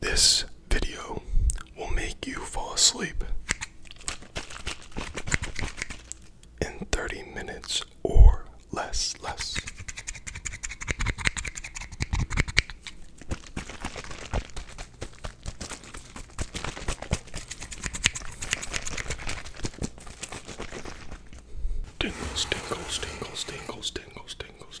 This video will make you fall asleep in 30 minutes or less, less. Tingles, tingles, tingles, tingles, tingles, tingles,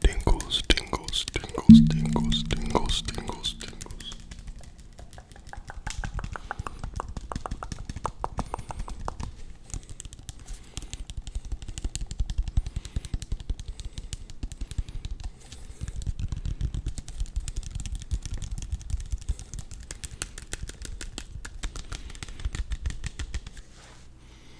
Tingles, tingles, tingles, tingles, tingles, tingles, tingles. Tingles,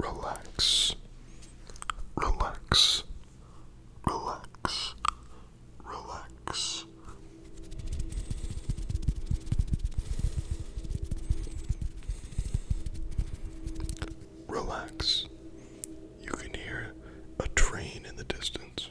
Relax, relax, relax, relax. Relax. You can hear a train in the distance.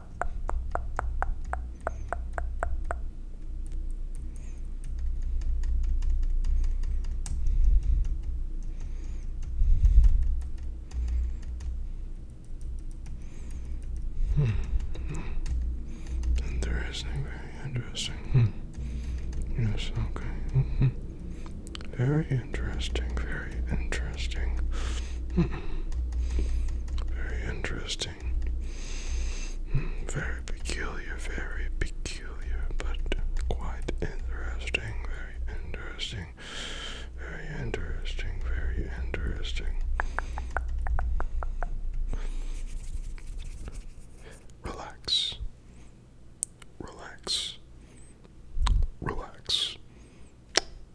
Hmm. Interesting, very interesting. Hmm. Yes, okay. -hmm. Very interesting, very interesting. Hmm. Very interesting interesting. Hmm, very peculiar, very peculiar, but quite interesting, very interesting, very interesting, very interesting. Relax, relax, relax,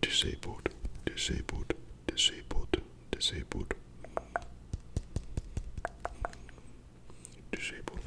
Disabled, disabled, disabled, disabled, disabled.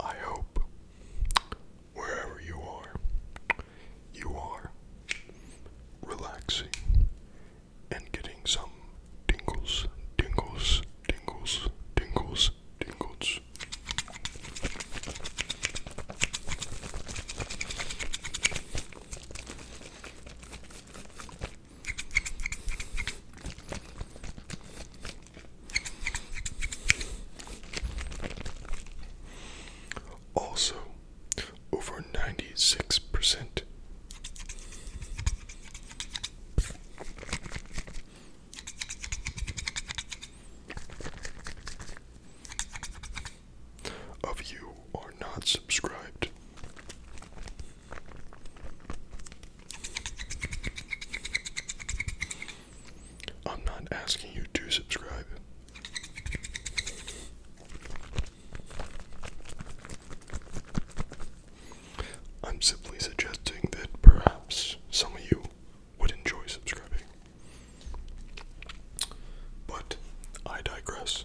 I hope wherever you are, you are relaxing and getting some tingles, tingles, tingles, tingles, tingles, tingles. Also, over ninety six percent of you are not subscribed. I'm not asking you to subscribe. I'm simply suggesting that perhaps some of you would enjoy subscribing. But I digress.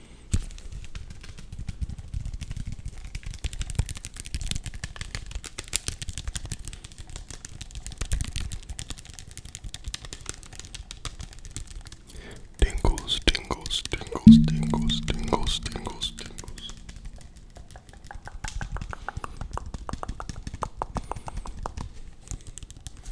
Tingles, tingles, tingles, tingles, tingles, tingles, tingles.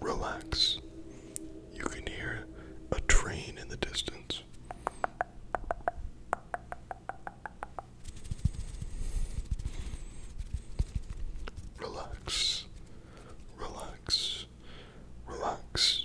Relax. You can hear a train in the distance. Relax, relax, relax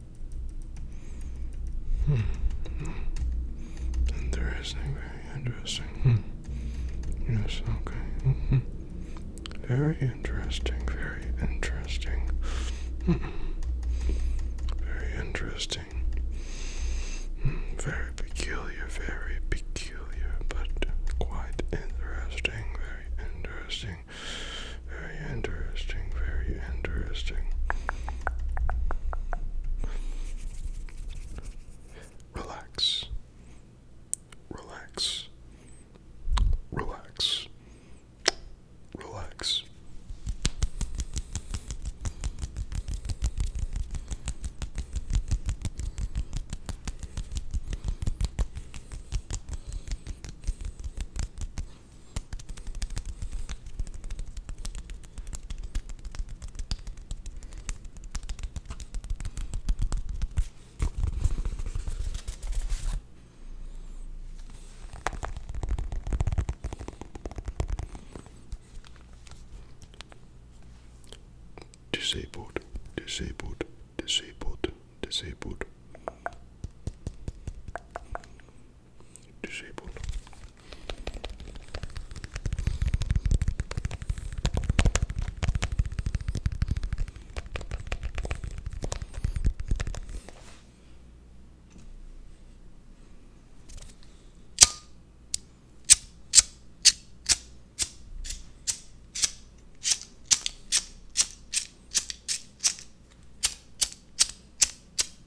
Hmm. Interesting, very interesting. Hmm. Yes, okay. Mm -hmm. Very interesting, very interesting. Hmm. Very interesting. Hmm. Very peculiar, very peculiar, but quite interesting, very interesting. Very interesting, very interesting. Relax. Relax. Relax. Relax. Disabled, disabled, disabled, disabled disabled.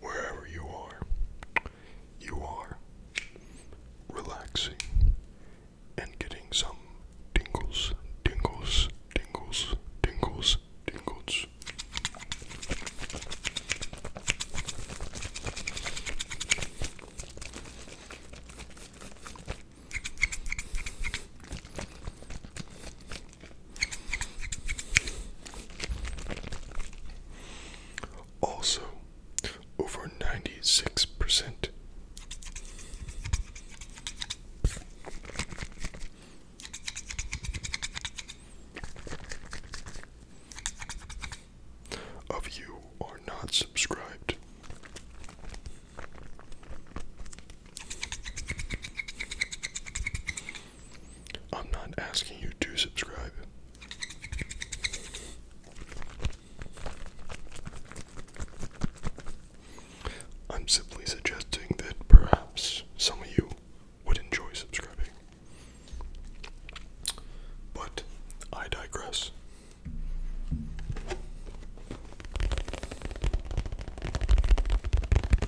wherever you are, you are relaxing and getting some tingles, tingles, tingles, tingles, tingles. Also, over 96% of you are not subscribed. I'm not asking you to subscribe. I'm simply suggesting that perhaps some of you would enjoy subscribing. But I digress.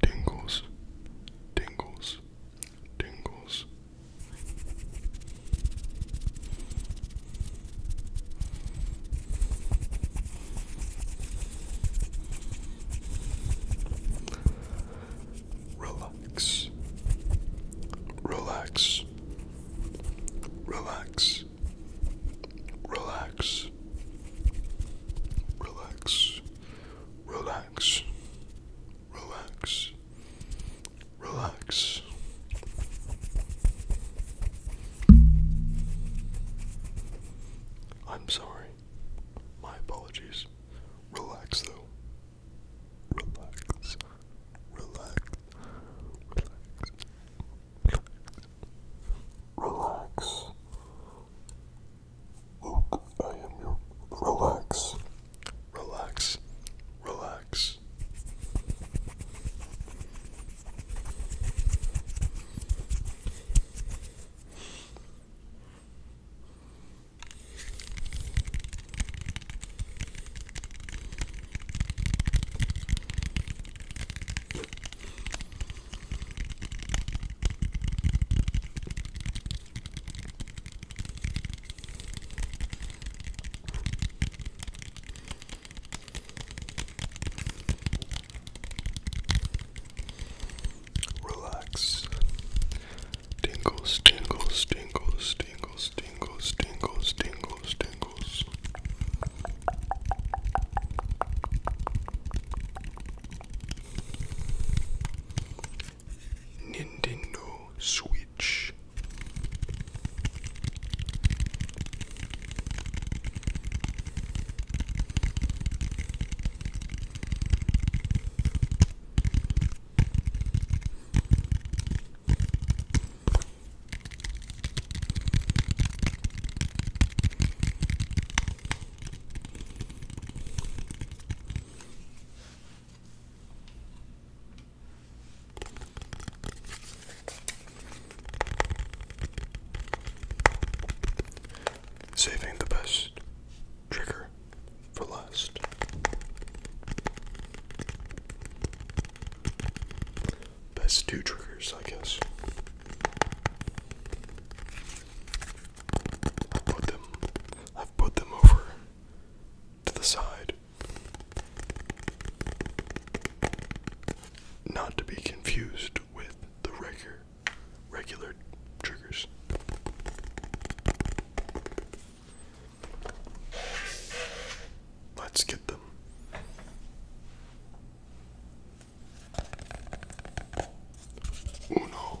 Dingles, dingles, dingles, tingles. Relax, relax, relax, relax, relax, relax, relax, relax. I'm sorry. My apologies. Relax though. Relax. Relax. Relax. Relax. Luke, I am your. Relax. Relax. Relax. Relax. Tingles, tingles, tingles, tingles, tingles, tingles, tingles, tingles. Nintendo Switch. Saving the best trigger for last. Best two triggers, I guess. I've put them I've put them over to the side. Not to be confused with the regular regular triggers. Let's get them. Uno,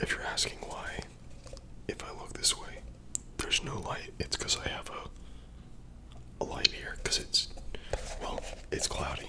If you're asking why, if I look this way, there's no light. It's because I have a, a light here because it's, well, it's cloudy.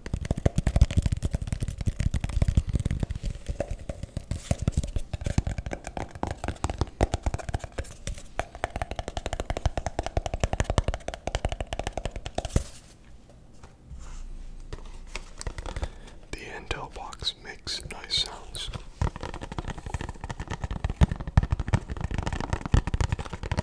The Intel box makes nice sounds.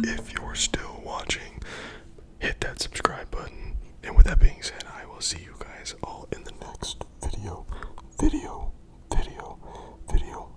If you're still watching, hit that subscribe button. And with that being said, I will see you guys all in the next video. Video, video, video.